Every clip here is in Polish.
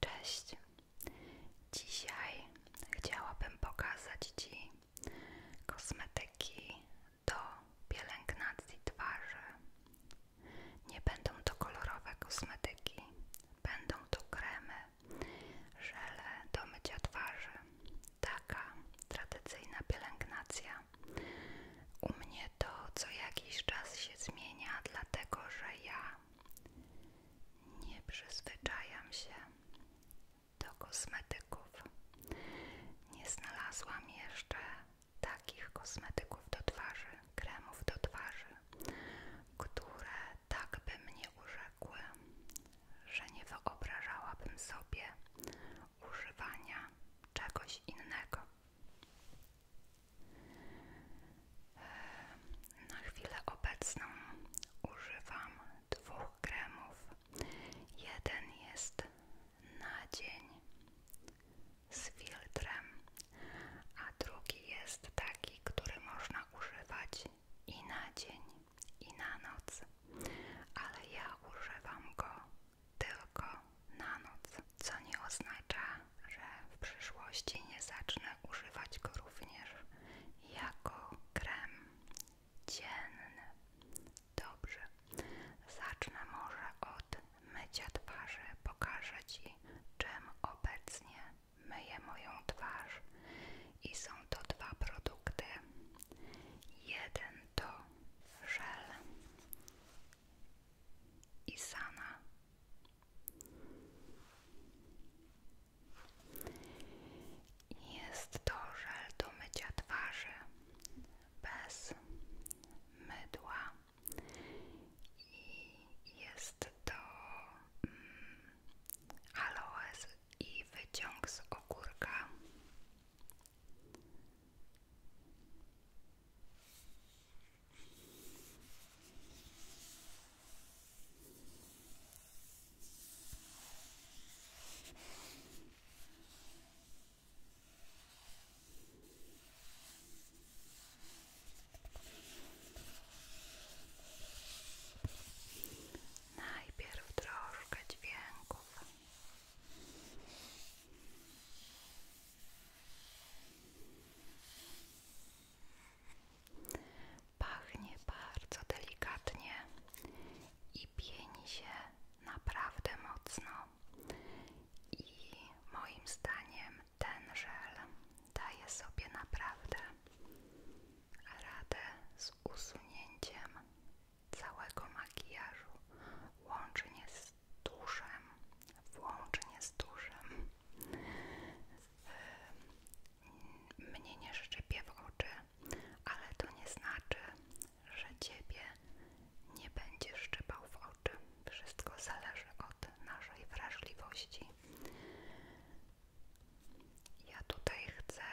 Cześć. Dzisiaj chciałabym pokazać Ci kosmetyki do pielęgnacji twarzy. Nie będą to kolorowe kosmetyki, będą to kremy, żele do mycia twarzy. Taka tradycyjna pielęgnacja. U mnie to co jakiś czas się zmienia, dlatego że ja nie przyzwyczajam się do kosmetyków. Nie znalazłam jeszcze takich kosmetyków do twarzy, kremów do twarzy, które tak by mnie urzekły, że nie wyobrażałabym sobie używania czegoś innego. Na chwilę obecną używam dwóch kremów. Jeden jest na dzień z filtrem, a drugi jest taki, który można używać i na dzień, i na noc. Ale ja używam go tylko na noc, co nie oznacza, że w przyszłości nie zacznę używać go również jako krem dzienny. Dobrze, zacznę może od mycia twarzy. Pokażę Ci, czym obecnie myję moją twarz. I są to dwa produkty. Jeden to żel i sana. Jest to żel do mycia twarzy bez mydła i jest to mm, aloes i wyciąg z ogórka. Najpierw troszkę dźwięków. Pachnie bardzo delikatnie i pieni się naprawdę mocno. I moim zdaniem ten żel daje sobie naprawdę radę z usunięciem całego makijażu, łącznie z tuszem, włącznie z tuszem mnie nie szczypie w oczy, ale to nie znaczy, że ciebie nie będzie szczypał w oczy. Wszystko zależy od naszej wrażliwości. Ja tutaj chcę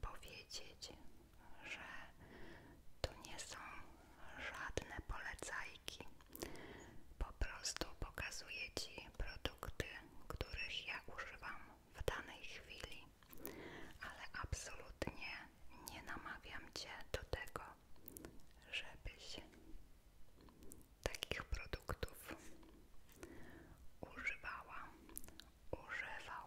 powiedzieć, że to nie są żadne polecajki. Po prostu pokazuję Ci produkty, których ja używam w danej chwili, ale absolutnie nie namawiam Cię do tego, żebyś takich produktów używała, używał.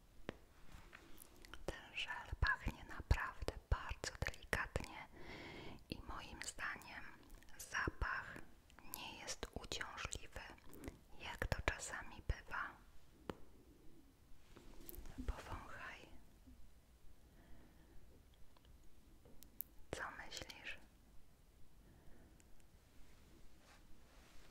Ten żel pachnie naprawdę bardzo delikatnie i moim zdaniem zapach nie jest uciążliwy, jak to czasami bywa. Powąchaj. Co myślisz?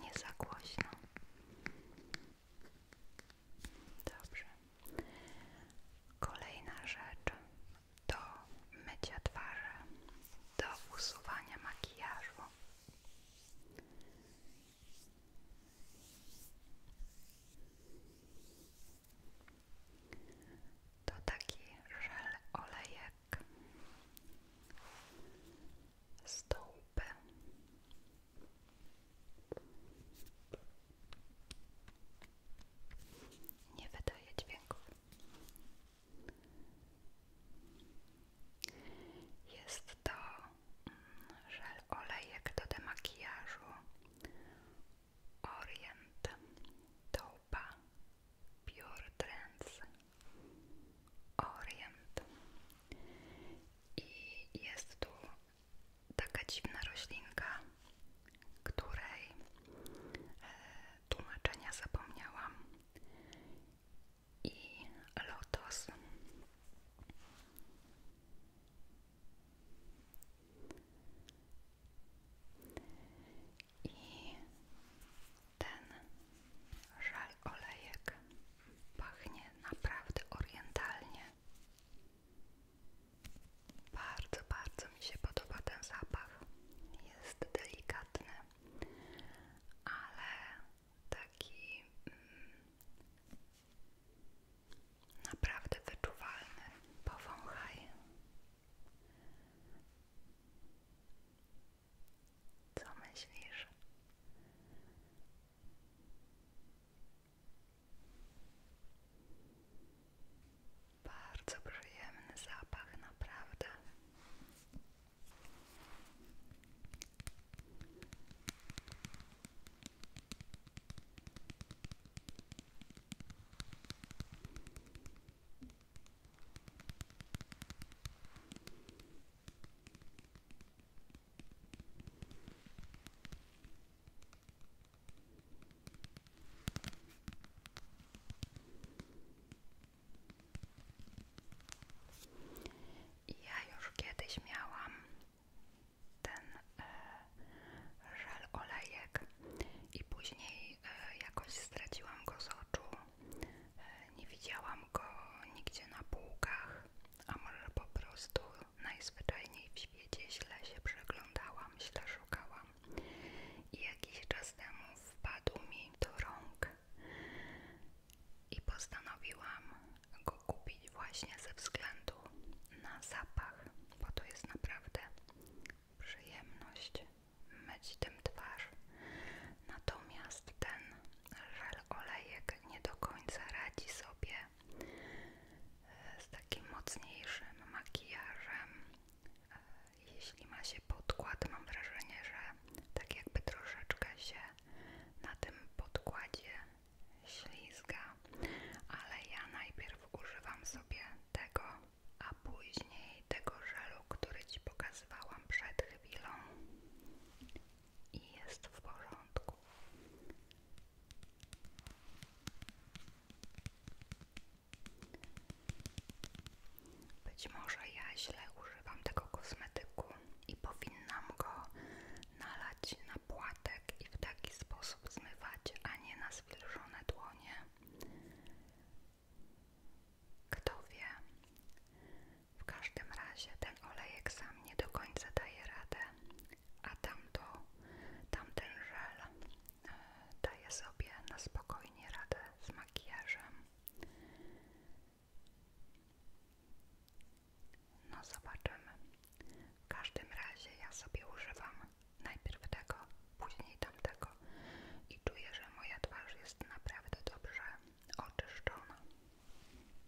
nie za głośno. Dobrze. Kolejna rzecz do mycia twarzy, do usuwania makijażu. To taki żel olejek bark, Nie wydaje dźwięków. Jest to mm, żel olejek do demakijażu Orient Taupa Pure Trends Orient. I jest tu taka dziwna roślinka, której e, tłumaczenia zapomniałam. I lotos. I ten żal olejek pachnie naprawdę orientalnie. Bardzo, bardzo mi się podoba ten zapach. Jest delikatny, ale taki mm, naprawdę wyczuwalny. Powąchaj. Co myślisz? Bardzo przyjemny zapach, naprawdę. Ja już kiedyś miałam ten e, żel olejek i później e, jakoś straciłam go z oczu E, nie widziałam go nigdzie na półkach, a może po prostu najzwyczajniej w świecie źle się przeglądałam, źle szukałam. I jakiś czas temu wpadł mi do rąk i postanowiłam go kupić właśnie ze względu na zapach, bo to jest naprawdę przyjemność myć tym twarz. Natomiast ten żel olejek nie do końca radzi sobie e, z takim mocniejszym makijażem. E, jeśli ma się podkład, mam wrażenie, że tak jakby troszeczkę się na tym podkładzie ślizga, ale ja najpierw używam sobie tego, a później tego żelu, który Ci pokazywałam przed chwilą i jest w porządku. Być może ja źle używam tego kosmetyku i powinnam go nalać na płatek i w taki sposób zmywać, a nie na zwilżone dłonie. Kto wie, w każdym razie ten olejek sam nie do końca daje radę, a tamto, tamten żel e, daje sobie na spokojnie radę z makijażem. No zobaczymy. W każdym razie ja sobie używam najpierw tego, później tamtego i czuję, że moja twarz jest naprawdę dobrze oczyszczona.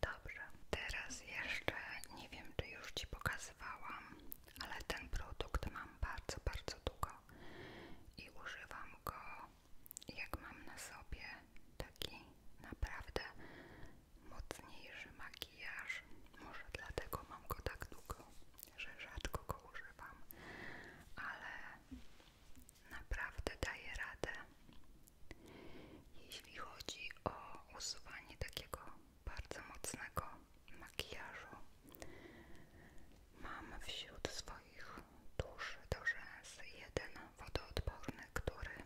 Dobrze, teraz jeszcze nie wiem, czy już Ci pokazywałam, ale ten produkt mam bardzo, bardzo długo i używam go jak mam na sobie taki naprawdę mocniejszy makijaż. Może dlatego mam go tak długo, że rzadko go używam, ale naprawdę daje radę. Jeśli chodzi o usuwanie takiego bardzo mocnego makijażu, mam wśród swoich tusz do rzęs jeden wodoodporny, który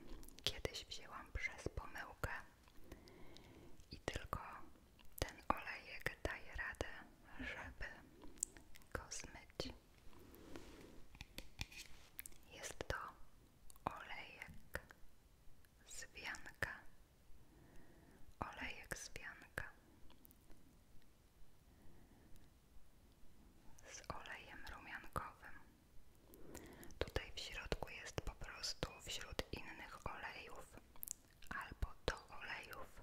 kiedyś wzięłam przez pomyłkę i tylko ten olejek daje radę, żeby go zmyć. Jest to olejek z wianka, olejek z wianka. Z olejem rumiankowym. Tutaj w środku jest po prostu wśród innych olejów albo do olejów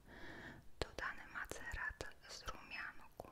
dodany macerat z rumianku.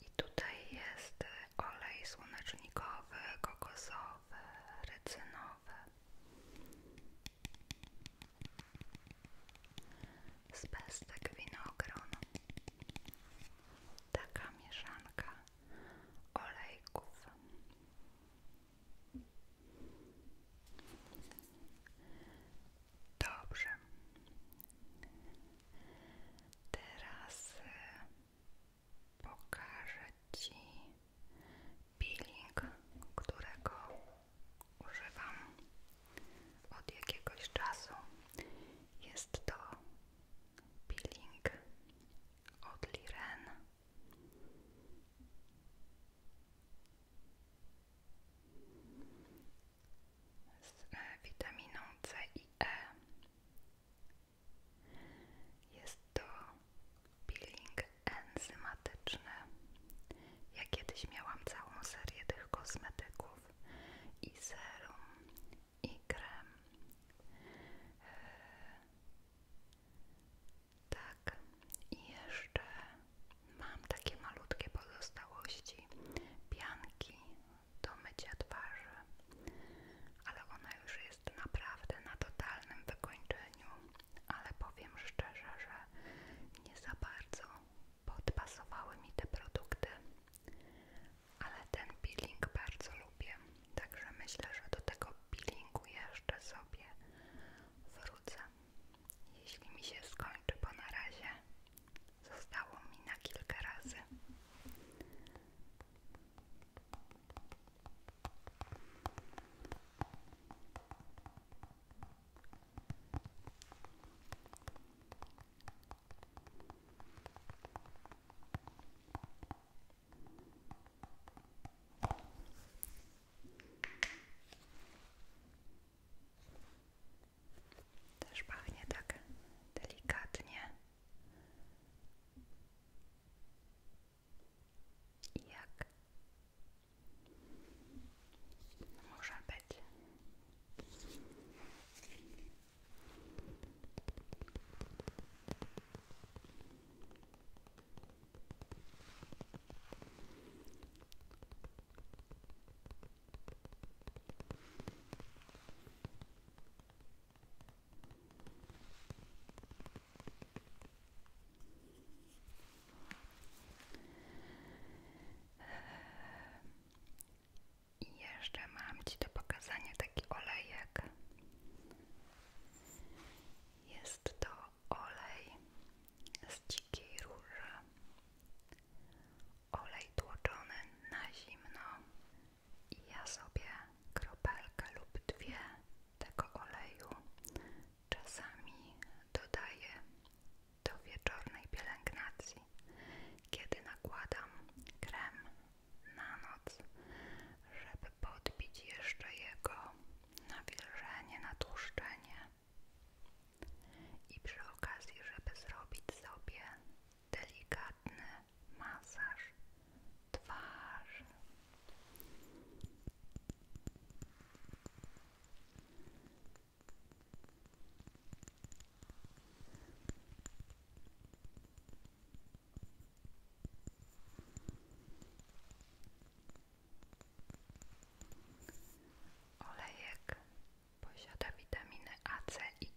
I tutaj jest olej słonecznikowy, kokosowy różowe, rycynowe. Z pestek winogron. Taka mieszanka olejków. Dobrze. Teraz y, pokażę Ci peeling, którego używam od jakiegoś czasu. Jest to peeling od Liren. Z e, witaminą C i e. Jest to peeling enzymatyczny. Ja kiedyś miałam całą serię tych kosmetyków i serum, i krem. E, tak, i jeszcze mam takie malutkie pozostałości pianki do mycia twarzy, ale ona już jest jest naprawdę na totalnym wykończeniu, ale powiem szczerze, że nie za bardzo podpasowały mi te produkty, ale ten peeling bardzo lubię, także myślę, że do tego peelingu jeszcze sobie wrócę, jeśli mi się skończy, bo na razie zostało mi na kilka razy. Też pachnie tak delikatnie i jak może być. I jeszcze mam Ci do pokazania taki olejek. Jest to olej z dzikiej róży. Olej tłoczony na zimno. I ja sobie kropelkę lub dwie tego oleju czasami dodaję do wieczornej pielęgnacji, kiedy nakładam krem na noc, żeby podbić jeszcze jego nawilżenie, natłuszczenie i przy okazji, żeby zrobić sobie delikatny masaż twarzy. Olejek posiada witaminy A, C i E.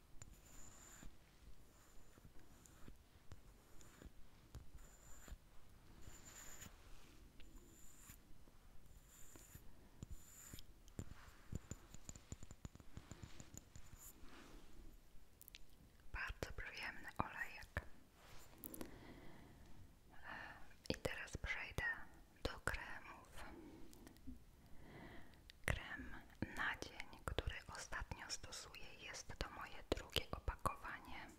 Bardzo przyjemny olejek. I teraz przejdę do kremów. Krem na dzień, który ostatnio stosuję, jest to moje drugie opakowanie.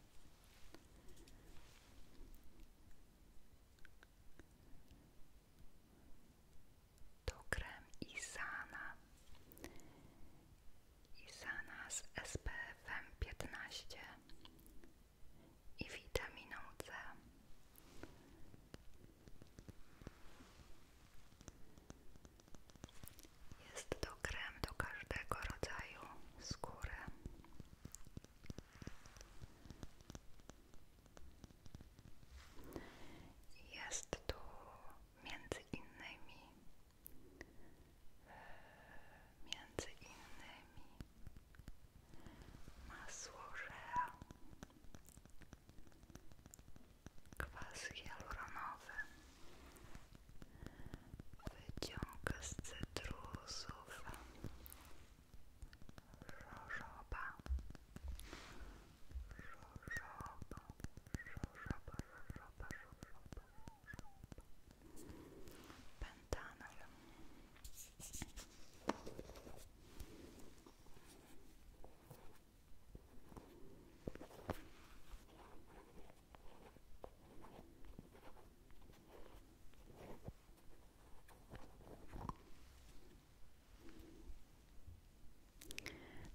To krem Isana. Isana z SPF-em 15 i witaminą C. Jest to krem do każdego rodzaju skóry. Jest tu między innymi e, między innymi masło kwas hialuronowy, wyciąg z cytrusów, żożoba, żożoba, żożoba, żożoba, pentanol.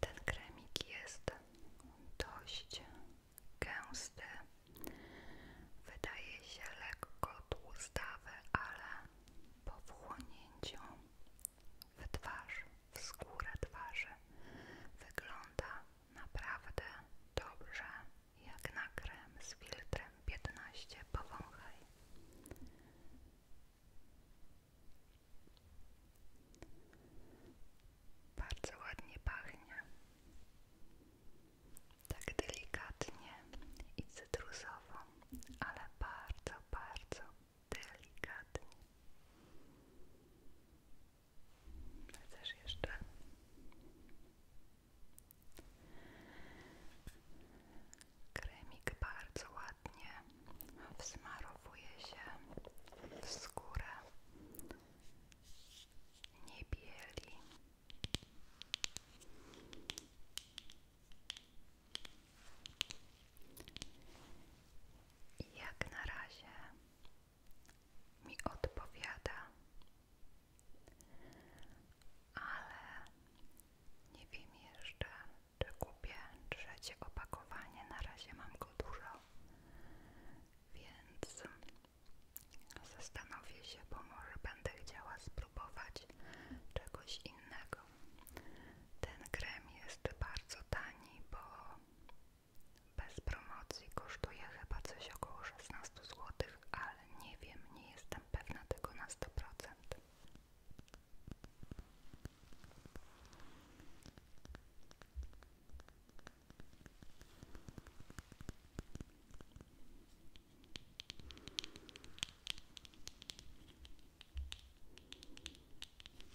Ten kremik jest dość gęsty. Wydaje się lekko tłustawy, ale po wchłonięciu w twarz, w skórę twarzy. Wygląda naprawdę dobrze, jak na krem z filtrem 15 powąchaj. Bardzo ładnie pachnie. Tak delikatnie i cytrusowo, ale bardzo, bardzo delikatnie. Chcesz jeszcze? Kremik bardzo ładnie wsmarowuje się w skórę, nie bieli. I jak na razie mi odpowiada, ale nie wiem jeszcze, czy kupię trzecie opakowanie. Na razie mam go dużo, więc zastanowię się, bo może będę chciała spróbować czegoś innego. Ten krem jest bardzo tani, bo bez promocji kosztuje chyba coś około 16 zł, ale nie wiem, nie jestem pewna tego na 100%.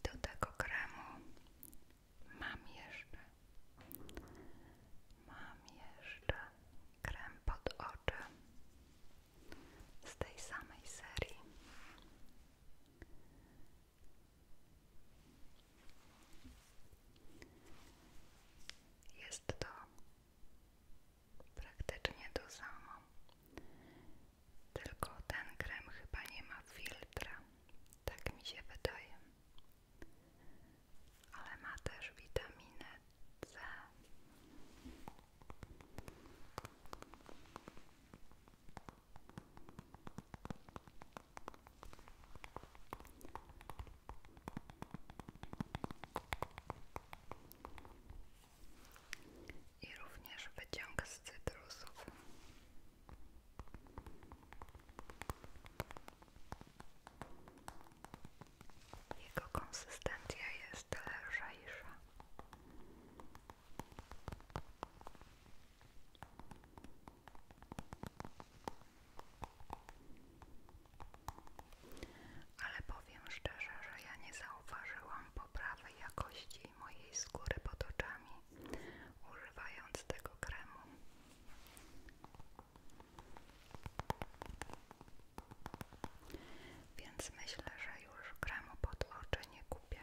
I do tego kremu Mam jeszcze. Mam jeszcze krem pod oczy z tej samej serii. Jest to praktycznie to samo. Tylko ten krem chyba nie ma filtra. Tak mi się wydaje ale ma też witaminę C. I również wyciąg z cytrusów. Jego konsystencja jest lżejsza. Ale powiem szczerze, że ja nie zauważyłam poprawy jakości mojej skóry pod oczami używając tego kremu. Więc myślę, że już kremu pod oczy nie kupię.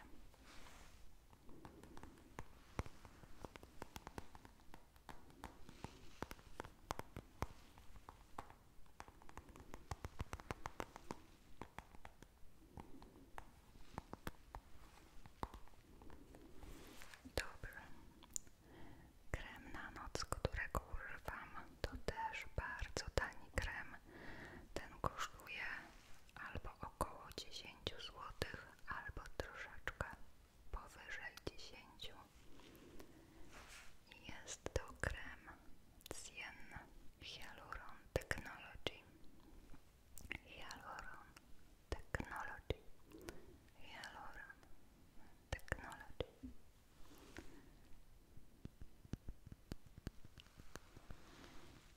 Dobrze, Krem na noc, którego używam, to też bardzo tani krem. Ten kosztuje albo około 10 zł, albo troszeczkę powyżej 10. Jest to krem z Cien Hyaluron Technology. Hyaluron technology, hyaluron technology.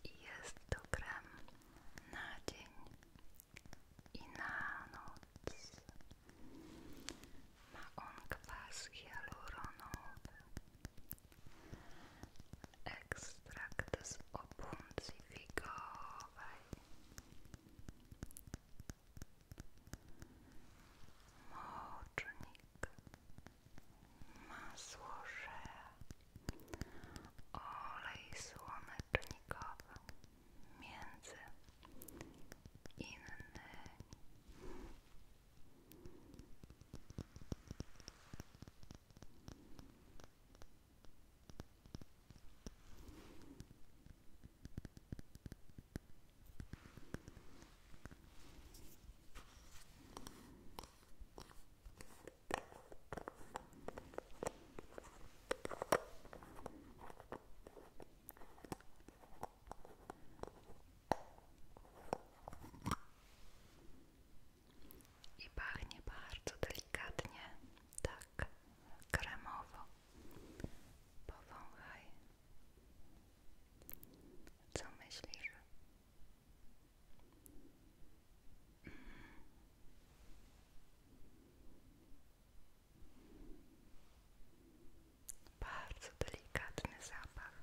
jest to gram na dzień i na noc. Ma on kwas hialuronowy, ekstrakt z opuncji figowej mocznik, masło żea, olej słonecznikowy, między innymi. I pachnie bardzo delikatnie, tak kremowo. Powąchaj. Co myślisz? Mm. Bardzo delikatny zapach.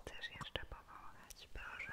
Chcesz jeszcze pomagać, proszę.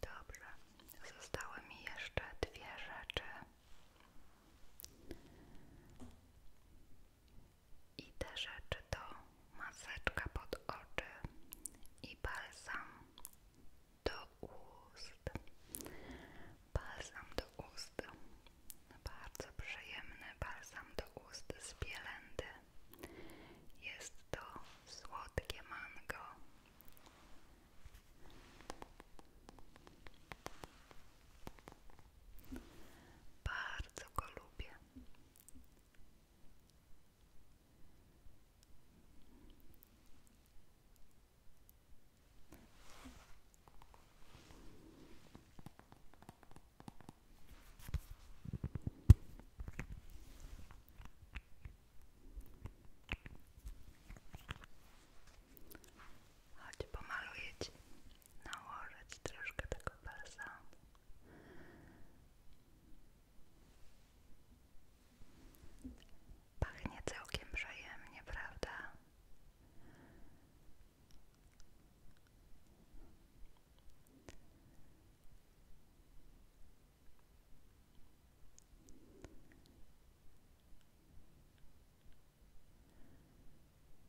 Dobrze, zostały mi jeszcze dwie rzeczy. I te rzeczy to maseczka pod oczy i balsam do ust. Balsam do ust. Bardzo przyjemny balsam do ust z Bielendy. Jest to słodkie mango. Bardzo go lubię. Chodź pomaluję ci nałożyć troszkę tego balsamu. Pachnie całkiem przyjemnie, prawda?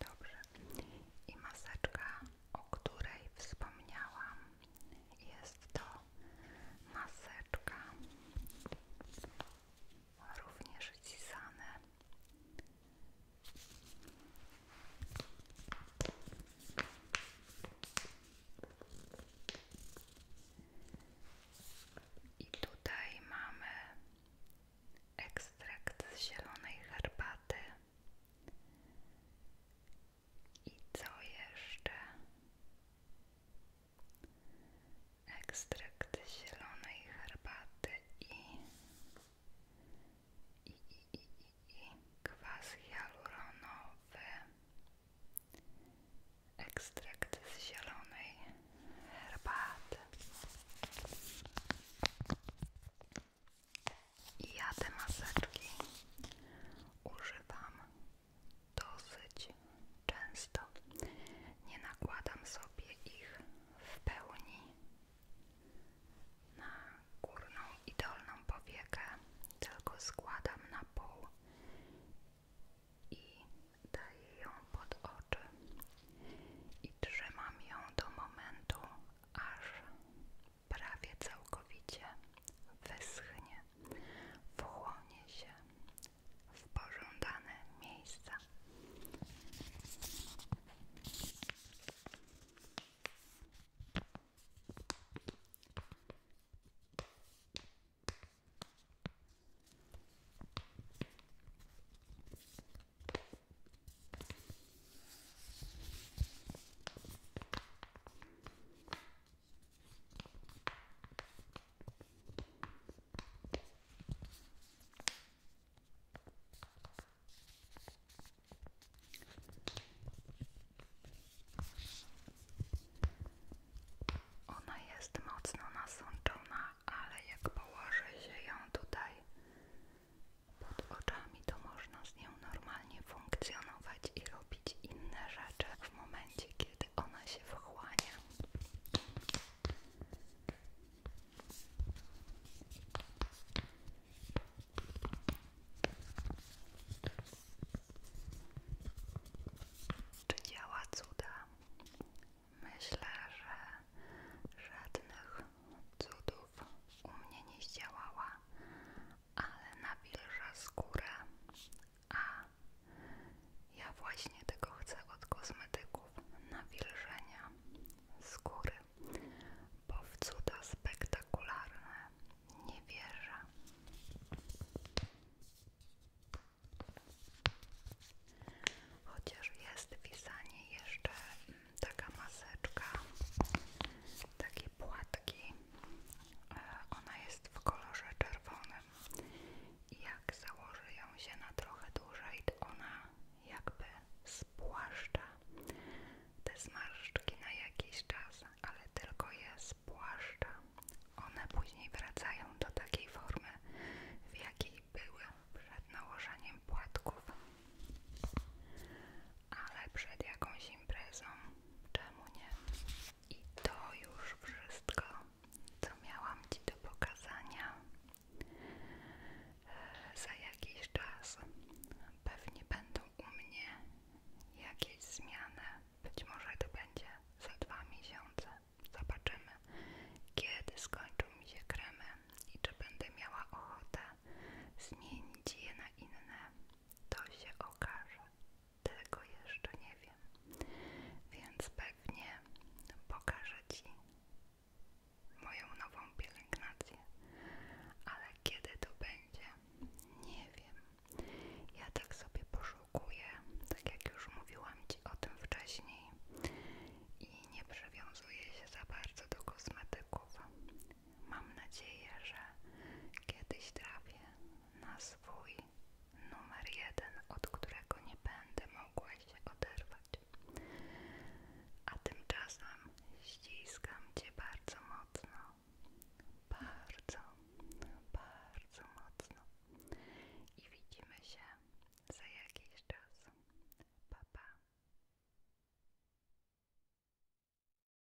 Dobrze. I maseczka o której wspomniałam. Jest to maseczka, również cisane. I tutaj mamy ekstrakt z zielonej herbaty i co jeszcze? Ekstrakt zielonej herbaty i, i, i, i, i, i kwas hialuronowy. Ekstrakt z zielonej herbaty. I ja te maseczki używam dosyć często. Nie nakładam sobie ich w pełni na górną i dolną powiekę, tylko składam na pół i daję ją pod oczy i trzymam ją do momentu, aż prawie całkowicie wyschnie, wchłonie się w pożądane miejsca. Ona jest mocno nasączona, ale jak położy się ją tutaj pod oczami, to można z nią normalnie funkcjonować i robić inne rzeczy w momencie, kiedy ona się wchłania. Czy działa cuda? Myślę, że żadnych cudów u mnie nie zdziałała, ale nawilża skórę, a ja właśnie tego chcę od kosmetyków nawilżenia skóry, bo w cuda spektakularne nie wierzę. Chociaż jest pisanie jeszcze mm, taka maseczka, taki płatki E, ona jest w kolorze czerwonym jak założy ją się na trochę dłużej, to ona jakby spłaszcza te zmarszczki na jakiś czas, ale tylko je spłaszcza. One później wracają do takiej formy, w jakiej były przed nałożeniem płatków ale przed jakąś imprezą, czemu nie? I to już wszystko, co miałam Ci do pokazania. E, za jakiś czas pewnie będą u mnie jakieś zmiany. Być może to będzie za dwa miesiące. Zobaczymy, kiedy skończą mi się kremy i czy będę miała ochotę zmienić je na inne. To się okaże. Tego jeszcze nie wiem. Więc pewnie pokażę Ci moją nową pielęgnację. Ale kiedy to będzie? Nie wiem. Ja tak sobie poszukuję, tak jak już mówiłam Ci o tym wcześniej. I nie przywiązuję się za bardzo do kosmetyków. Mam nadzieję, że kiedyś trafię na swój numer jeden, od którego nie będę mogła się oderwać. A tymczasem ściskam Cię bardzo mocno, bardzo, bardzo mocno i widzimy się za jakiś czas. Pa,